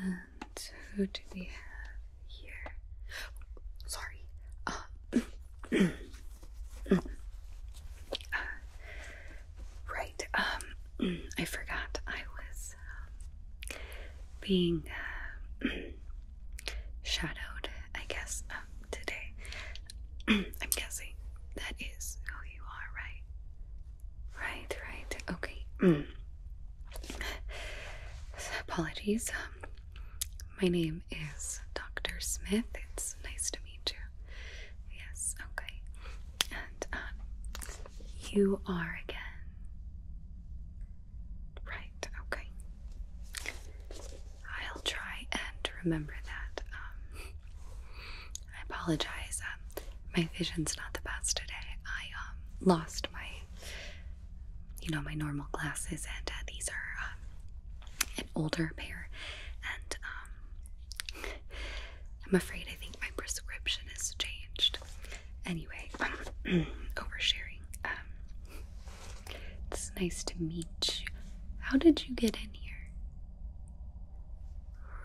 And who do we have here? sorry. Uh, right. Um, I forgot. I was um, being uh, shadowed. I guess um, today. I'm guessing that is who you are, right? Right, right. Okay. Mm. Apologies. Um, my name is Dr. Smith. It's nice to meet you. Yes, okay. And um, you are again. Right, okay. I'll try and remember that. Um, I apologize. Um, my vision's not the best today. I um, lost my, you know, my normal glasses, and uh, these are um, an older pair. And I'm afraid I think my prescription has changed. Anyway, oversharing. it's nice to meet you. How did you get in here?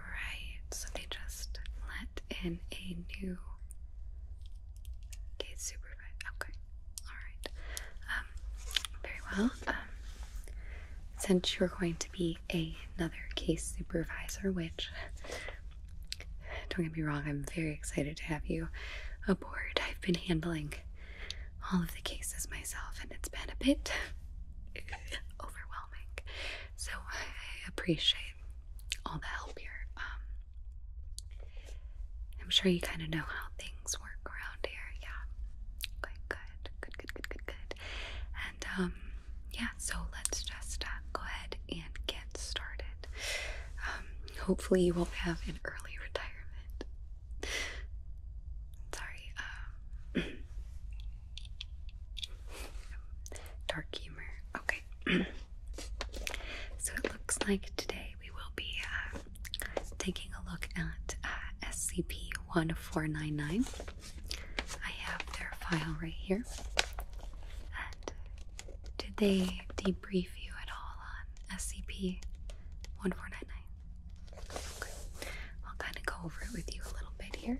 Right, so they just let in a new case supervisor. Okay, alright. Um, very well. Um, since you're going to be another case supervisor, which, don't get me wrong, I'm very excited to have you aboard. I've been handling all of the cases myself, and it's been a bit overwhelming. So I appreciate all the help here. Um, I'm sure you kind of know how things work around here. Yeah. Okay, good. Good, good, good, good, good. And um, yeah, so let's just uh, go ahead and get started. Um, hopefully, you won't have an early retirement. Sorry. dark humor. Okay. so it looks like today we will be uh, taking a look at uh, SCP 1499. I have their file right here. did they debrief you at all on SCP 1499? Okay. I'll kind of go over it with you a little bit here.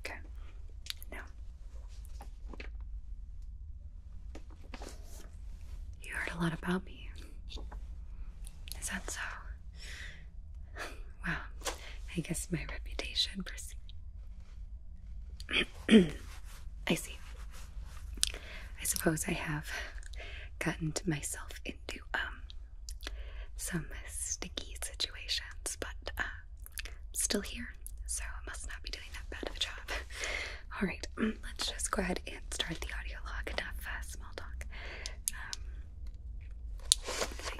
Okay, now you heard a lot about me. Is that so? Wow, I guess my reputation precedes. I see. I suppose I have gotten myself into um some sticky situations, but uh, still here, so I must not be doing that bad of a job. All right, mm, let's just go ahead and start the audio log, Not uh, small talk. Um,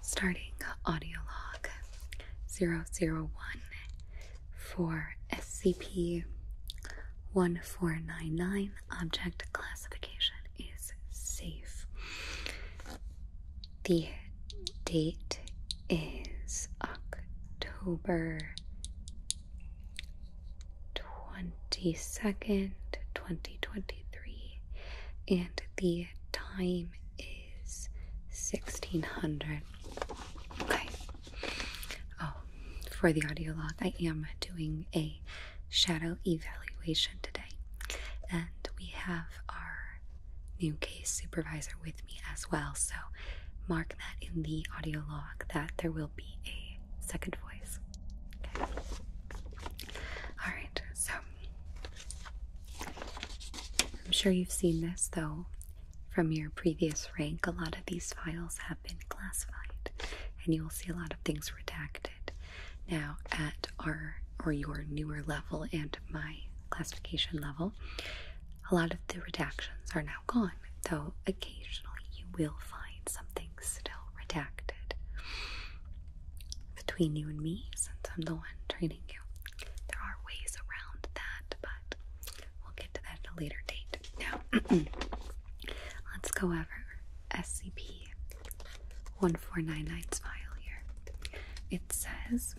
Starting audio log 001 for SCP 1499, object classification is safe. The date is October 22nd, 2023, and the time is 1600. Okay. Oh, for the audio log, I am doing a shadow evaluation today, and we have our new case supervisor with me as well. So mark that in the audio log that there will be a second voice. All right, so I'm sure you've seen this though from your previous rank. A lot of these files have been classified, and you will see a lot of things redacted. Now, at our or your newer level and my classification level, a lot of the redactions are now gone, though occasionally you will find something still redacted. Between you and me, since I'm the one training you, there are ways around that, but we'll get to that at a later date. Now, let's go over SCP 1499's file here. It says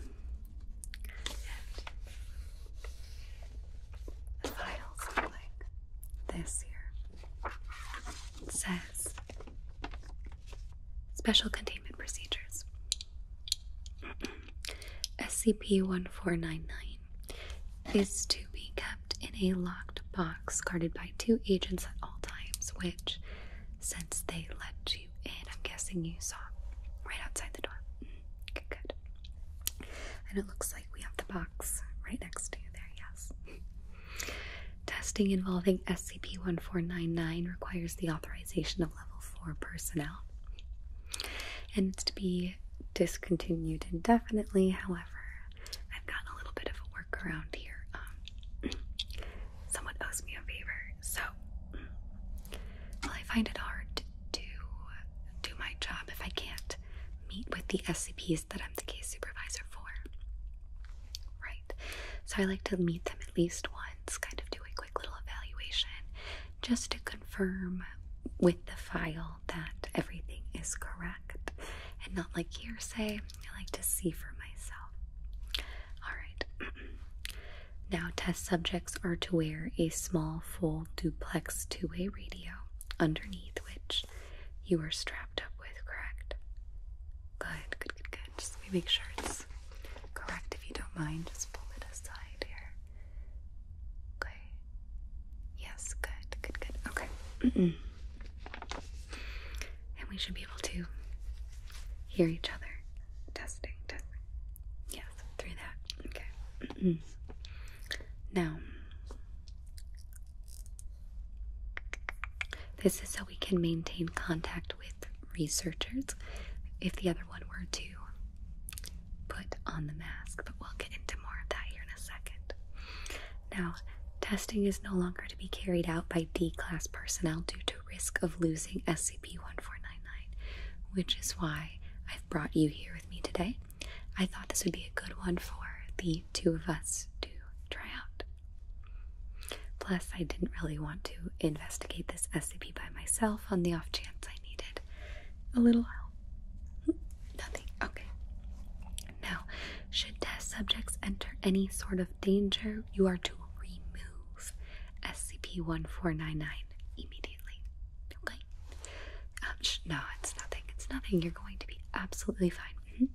the files look like this here. It says Special Containment Procedures. SCP-1499 is to be kept in a locked box guarded by two agents at all times, which since they let you in. I'm guessing you saw right outside the door. Mm, good, good. And it looks like we have the box right next to you there, yes. Testing involving SCP 1499 requires the authorization of level 4 personnel. And it's to be discontinued indefinitely. However, I've gotten a little bit of a workaround here. Um, someone owes me a favor, so mm, well, I find it hard to do my job if I can't meet with the SCPs that I'm the case supervisor for. Right, so I like to meet them at least once, kind of do a quick little evaluation just to confirm with the file that everything is correct and not like hearsay I like to see for myself. All right. now, test subjects are to wear a small, full duplex two way radio underneath which you are strapped up with, correct? Good, good, good, good. Just make sure it's correct if you don't mind. Just pull it aside here. Okay. Yes, good, good, good. Okay. and we should be able to hear each other. Testing, testing. Yes, through that. Okay. now, this is so we can maintain contact with researchers if the other one were to put on the mask, but we'll get into more of that here in a second. Now, testing is no longer to be carried out by D class personnel due to risk of losing SCP 1499, which is why I've brought you here with me today. I thought this would be a good one for the two of us to try out. Plus, I didn't really want to investigate this SCP by myself on the off chance I needed a little help. Hmm, nothing. Okay. Now, should test subjects enter any sort of danger, you are to remove. SCP-1499 immediately. Okay? Ouch. Um, no, it's nothing. It's nothing. You're going to be absolutely fine. Mm-hmm.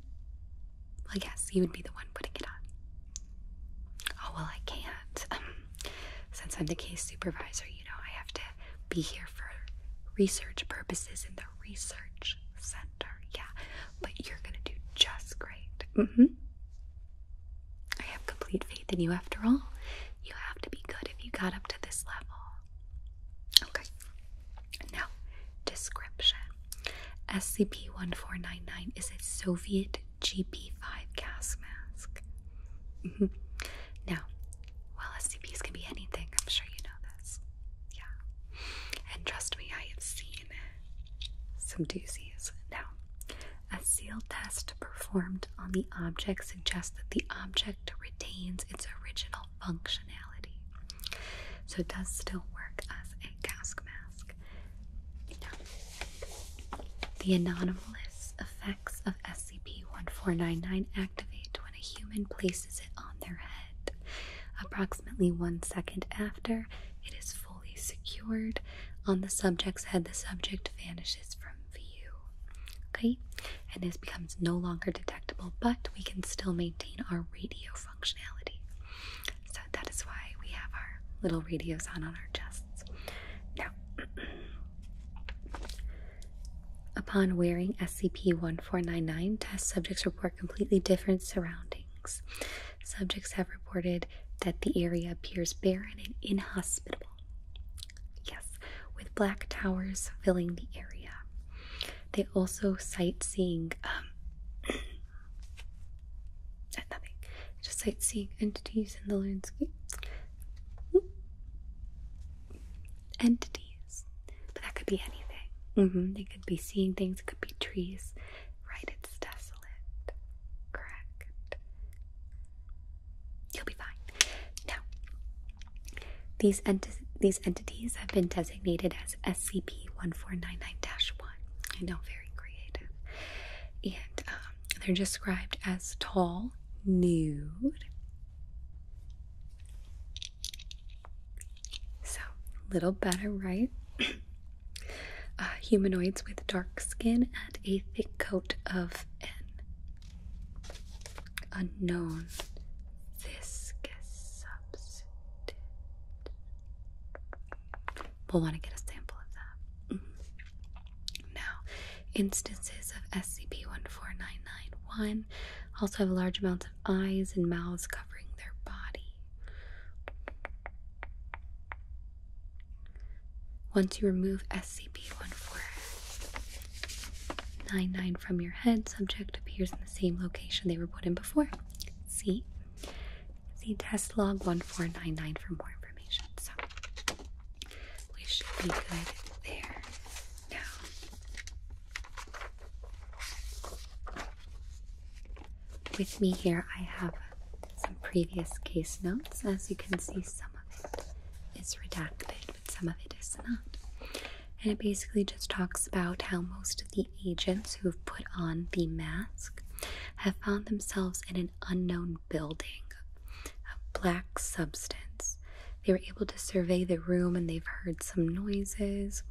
Well, yes, you would be the one putting it on. Oh, well, I can't. Um, since I'm the case supervisor, you know, I have to be here for research purposes in the research center. Yeah, but you're going to do just great. Mm-hmm. I have complete faith in you after all. You have to be good if you got up to this level. Okay. Now, description SCP 1499 is a Soviet GP 5 gas mask. Mm-hmm. Now, well, SCPs can be anything, I'm sure you know this. Yeah. And trust me, I have seen some doozies. Now, a seal test performed on the object suggests that the object retains its original functionality. So it does still work as a gas mask. the anomalous effects of SCP-1499 activate when a human places it on their head. Approximately one second after, it is fully secured on the subject's head, the subject vanishes from view. Okay? And this becomes no longer detectable, but we can still maintain our radio functionality. So that is why we have our little radios on on our chests. Now, upon wearing SCP 1499, test subjects report completely different surroundings. Subjects have reported that the area appears barren and inhospitable. Yes, with black towers filling the area. They also sightseeing, um, nothing, just sightseeing entities in the landscape. Entities, but that could be anything. Mm-hmm. They could be seeing things, it could be trees, right? It's dust correct. You'll be fine. Now, these, these entities have been designated as SCP 1499 1. I know, very creative. And um, they're described as tall, nude. So, little better, right? Uh, humanoids with dark skin and a thick coat of an unknown viscous substance. We'll want to get a sample of that. Mm-hmm. Now, instances of SCP-14991 also have large amounts of eyes and mouths covering their body. Once you remove SCP-1499 from your head, subject appears in the same location they were put in before. See? See test log 1499 for more information. So, we should be good there now. With me here, I have some previous case notes. As you can see, some of it is redacted, but some of it is not. And it basically just talks about how most of the agents who have put on the mask have found themselves in an unknown building of black substance. They were able to survey the room and they've heard some noises,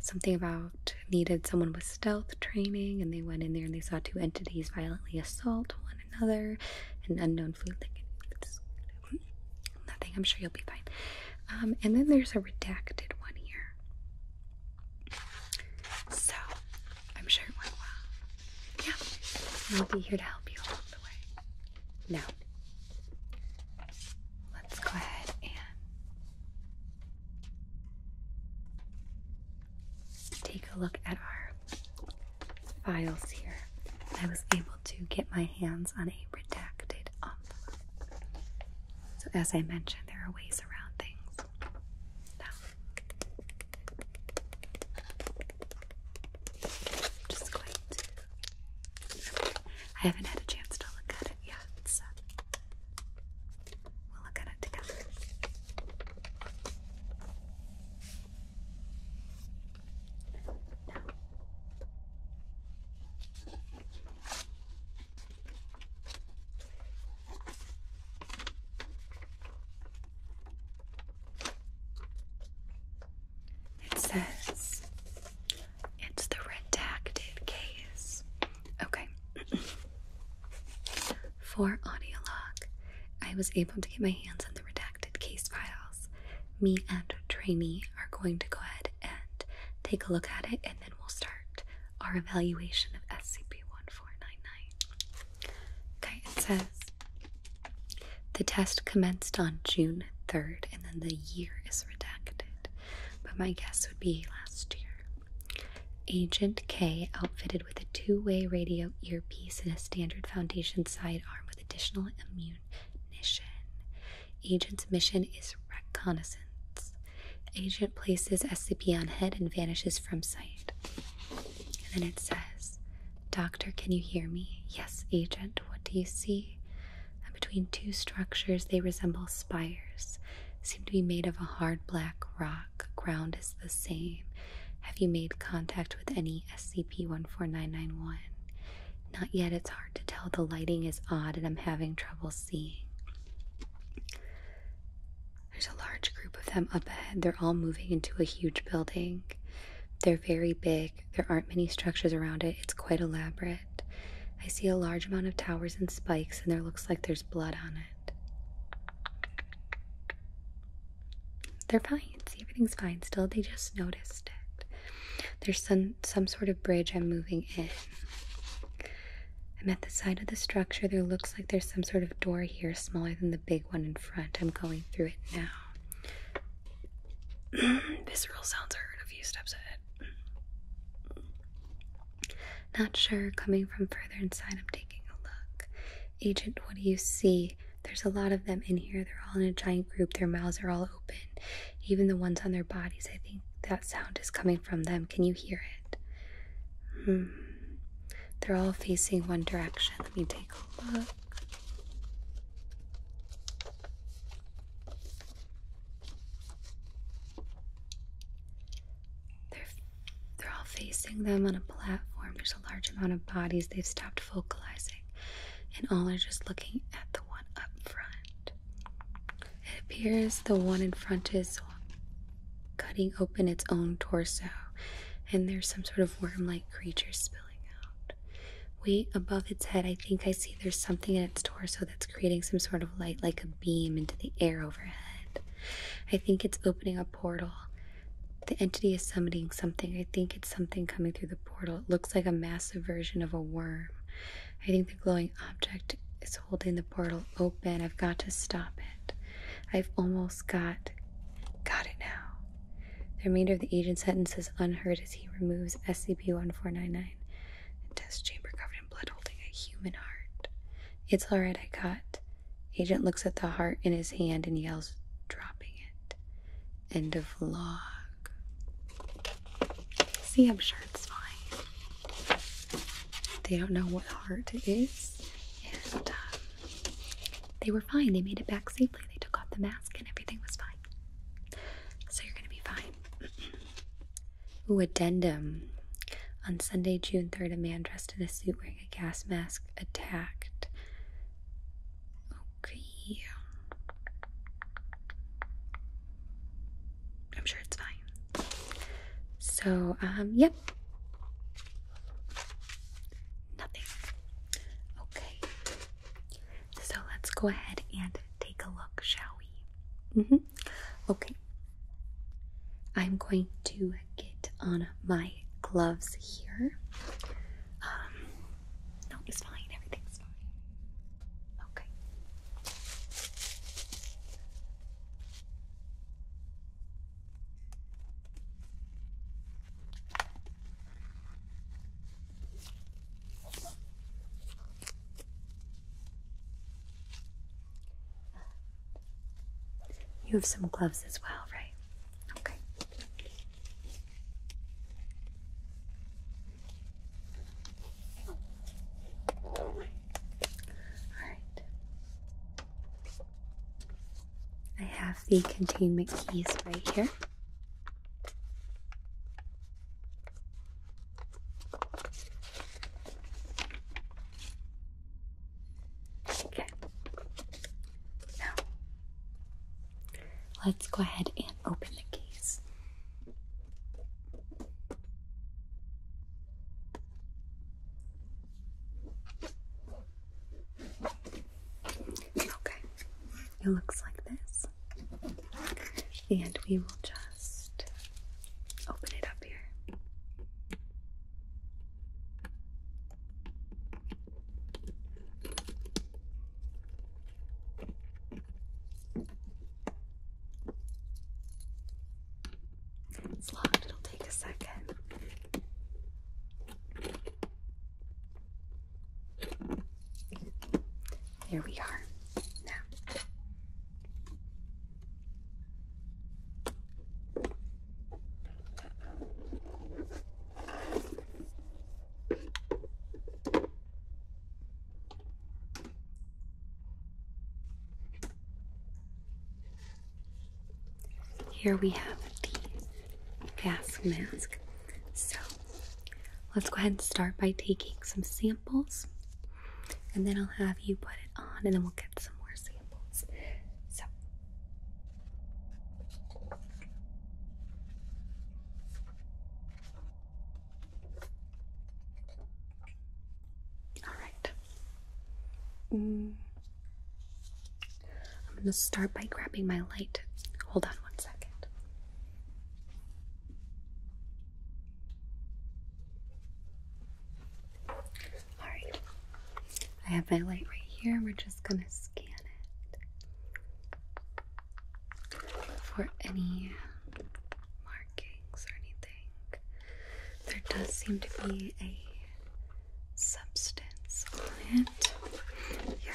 something about needed someone with stealth training, and they went in there and they saw two entities violently assault one another. An unknown food. Like it's nothing. I'm sure you'll be fine. Um, and then there's a redacted one here. So I'm sure it went well. Yeah, I'll be here to help you along the way. Now. Let's go ahead and take a look at our files here. I was able to get my hands on a redacted envelope. So, as I mentioned, there are ways around things. Now, just going to. I haven't had a chance to look at it yet. We'll look at it together. Now, it says it's the redacted case. Okay. For Audiolog, I was able to get my hands on the redacted case files. Me and Trainee are going to go ahead and take a look at it, and then we'll start our evaluation of SCP 1499. Okay, it says the test commenced on June 3rd, and then the year is redacted, but my guess would be last year. Agent K, outfitted with a two way radio earpiece and a standard foundation sidearm with additional ammunition. Agent's mission is reconnaissance. Agent places SCP on head and vanishes from sight. And then it says, Doctor, can you hear me? Yes, Agent, what do you see? between two structures, they resemble spires, seem to be made of a hard black rock ground is the same. Have you made contact with any SCP-14991? Not yet, it's hard to tell. The lighting is odd and I'm having trouble seeing. There's a large group of them up ahead. They're all moving into a huge building. They're very big. There aren't many structures around it. It's quite elaborate. I see a large amount of towers and spikes, and there looks like there's blood on it. They're fine. See, everything's fine still. They just noticed it. There's some, some sort of bridge I'm moving in. I'm at the side of the structure. There looks like there's some sort of door here, smaller than the big one in front. I'm going through it now. Visceral sounds are heard a few steps ahead. Not sure, coming from further inside, I'm taking a look. Agent, what do you see? There's a lot of them in here. They're all in a giant group. Their mouths are all open. Even the ones on their bodies. I think that sound is coming from them. Can you hear it? Hmm. They're all facing one direction. Let me take a look. They're they're all facing them on a platform. There's a large amount of bodies. They've stopped vocalizing, and all are just looking at the one up front. It appears the one in front is cutting open its own torso, and there's some sort of worm like creature spilling out. Way above its head, I think I see there's something in its torso that's creating some sort of light, like a beam into the air overhead. I think it's opening a portal. The entity is summoning something. I think it's something coming through the portal. It looks like a massive version of a worm. I think the glowing object is holding the portal open. I've got to stop it. I've almost got got it now. The remainder of the agent's sentence is unheard as he removes SCP-1499. a test chamber covered in blood holding a human heart. It's alright, I got Agent looks at the heart in his hand and yells, dropping it. End of log. See, I'm sure it's fine. They don't know what heart it is. And um, they were fine. They made it back safely. They took off the mask and everything was fine. So you're going to be fine. Ooh, addendum. On Sunday, June 3rd, a man dressed in a suit a gas mask attacked. Okay. I'm sure it's fine. So, um, yep. Nothing. Okay. So let's go ahead and take a look, shall we? Mm-hmm. Okay. I'm going to get on my gloves here. Um, no, it's fine. Everything's fine. Okay. You have some gloves as well, right? Okay. All right. I have the containment keys right here. Okay. Now, let's go ahead and open the case. Okay, it looks like this, and we will just open it up here. It's locked, it'll take a second. There we are. Now here we have the gas mask. So let's go ahead and start by taking some samples and then I'll have you put it on and then we'll get some more samples. So all right. Mm. I'm going to start by grabbing my light. Hold on one second. Alright, I have my light right here. We're just going to scan it for any markings or anything. There does seem to be a substance on it. Here.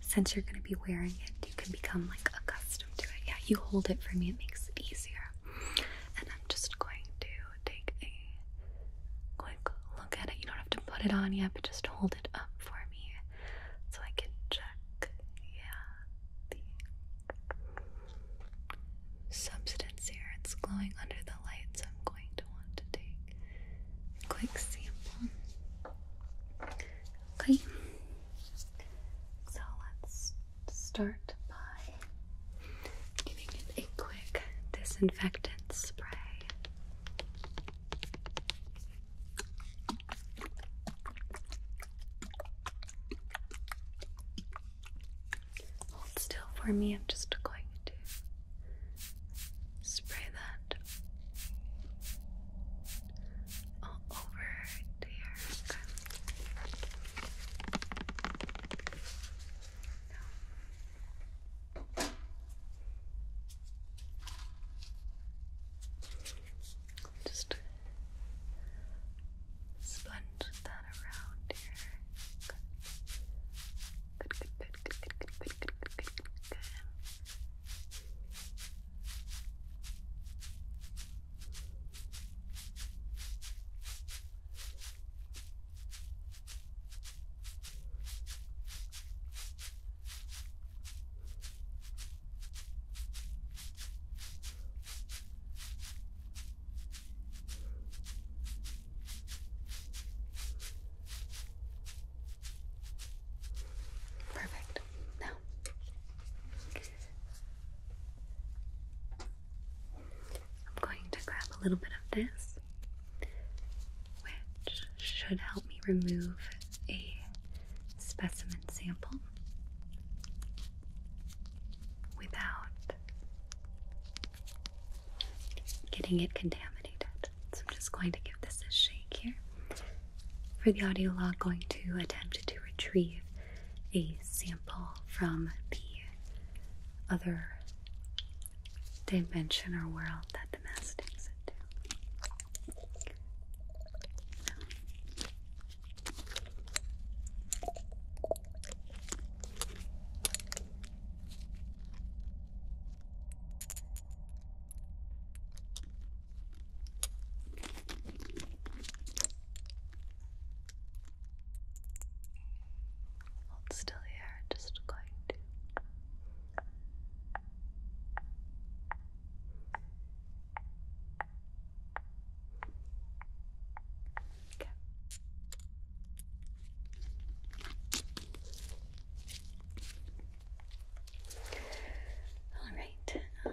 Since you're going to be wearing it, you can become like accustomed to it. Yeah, you hold it for me, it makes it easier and I'm just going to take a quick look at it. You don't have to put it on yet, but just hold it up for me so I can check, yeah, the substance here. It's glowing under the light, so I'm going to want to take a quick sample. Okay, so let's start by giving it a quick disinfectant spray. Hold still for me, I'm just going to spray that all over to your Just sponge that around here. good, good, good, good, good, good, good, good, good. good. Perfect. Now, I'm going to grab a little bit of this, which should help me remove a specimen sample without getting it contaminated. So I'm just going to give this a shake here. For the audio log, going to attempt to retrieve a sample from the other dimension or world that the mass takes it to. Hold still here, just going to Okay. All right. Um,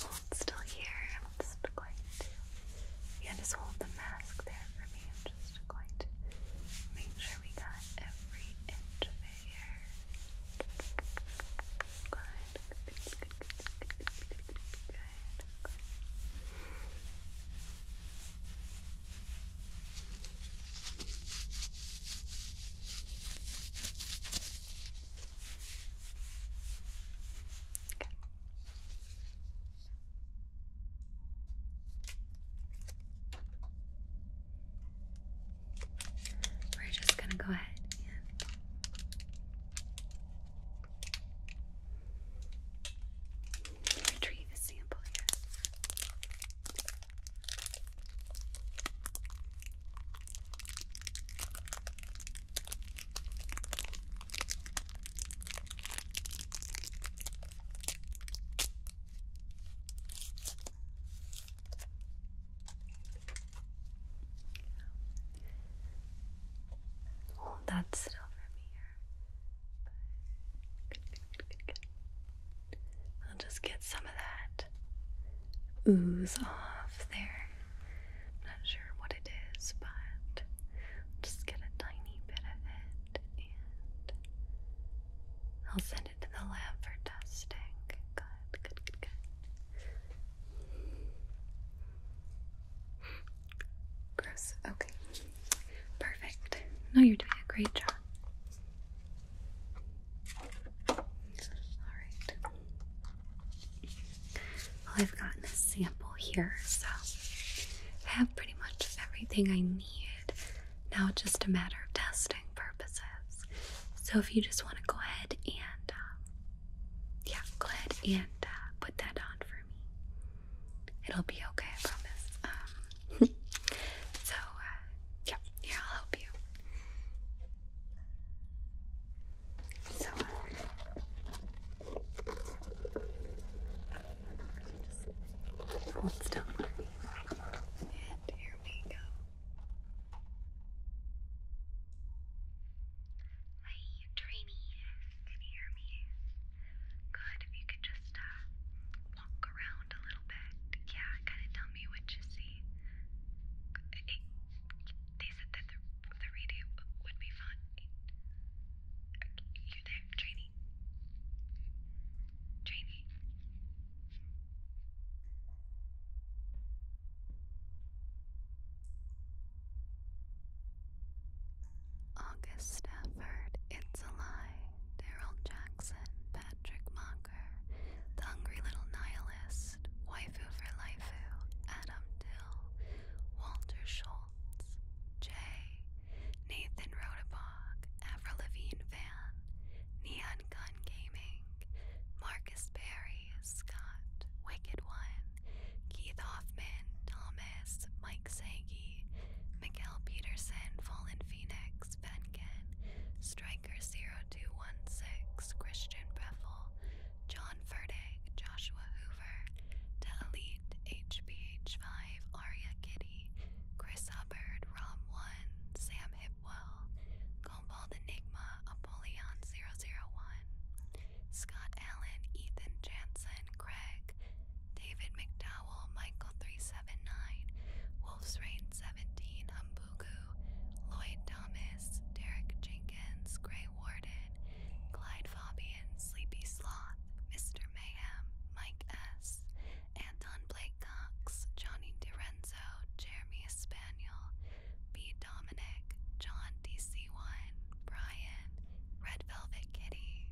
Hold still here. I'm just going to. Yeah, just hold the mask there for me. I'm just going to make sure we got every inch of it here. Good. Good. We're just going to go ahead and retrieve a sample here. Hold that still from here. I'll just get some of that ooze off there. I'm not sure what it is, but I'll just get a tiny bit of it and I'll send it to the lab for testing. Good, good, good, good. Gross. Okay. Perfect. No, you're doing a great job. All right. Well, I've gotten a sample here, so I have pretty much everything I need. Now just a matter of testing purposes. So if you just want to go ahead and, uh, yeah, go ahead and uh, put that on for me. It'll be okay, I promise. Um, so, uh, yeah, here, I'll help you. So just uh, hold still And here we go. Hey, trainee, can you hear me? Good, if you could just uh, walk around a little bit. Yeah, kind of tell me what you see. They said that the, radio would be fun. You there, trainee? Trainee? August Stafford, It's a Lie, Daryl Jackson, Patrick Mocker, The Hungry Little Nihilist. West, Waifu for Life, Adam Dill, Walter Schultz, Jay, Nathan Rodebog, Avril Levine Van, Neon Gun Gaming, Marcus Berry, Scott, Wicked One, Keith Hoffman, Thomas, Mike Sagi, Miguel Peterson, Fallen Phoenix, Venkin, Striker 0216, Christian Breffel, John Ferdig, Joshua Hoover, to Elite, HBH5, Aria Kitty, Chris Hubbard, Rob One, Sam Hipwell, Cobalt Enigma, Apollyon 001, Scott Allen, Ethan Jansen, Craig, David McDowell, Michael 379, Wolf's reign 17, Humbugu, Lloyd Thomas, Derek Jenkins, Greg Eye Warden, Clyde Fabian, Sleepy Sloth, Mr. Mayhem, Mike S., Anton Blake Cox, Johnny DiRenzo, Jeremy Spaniel, B. Dominic, John DC1, Brian, Red Velvet Kitty.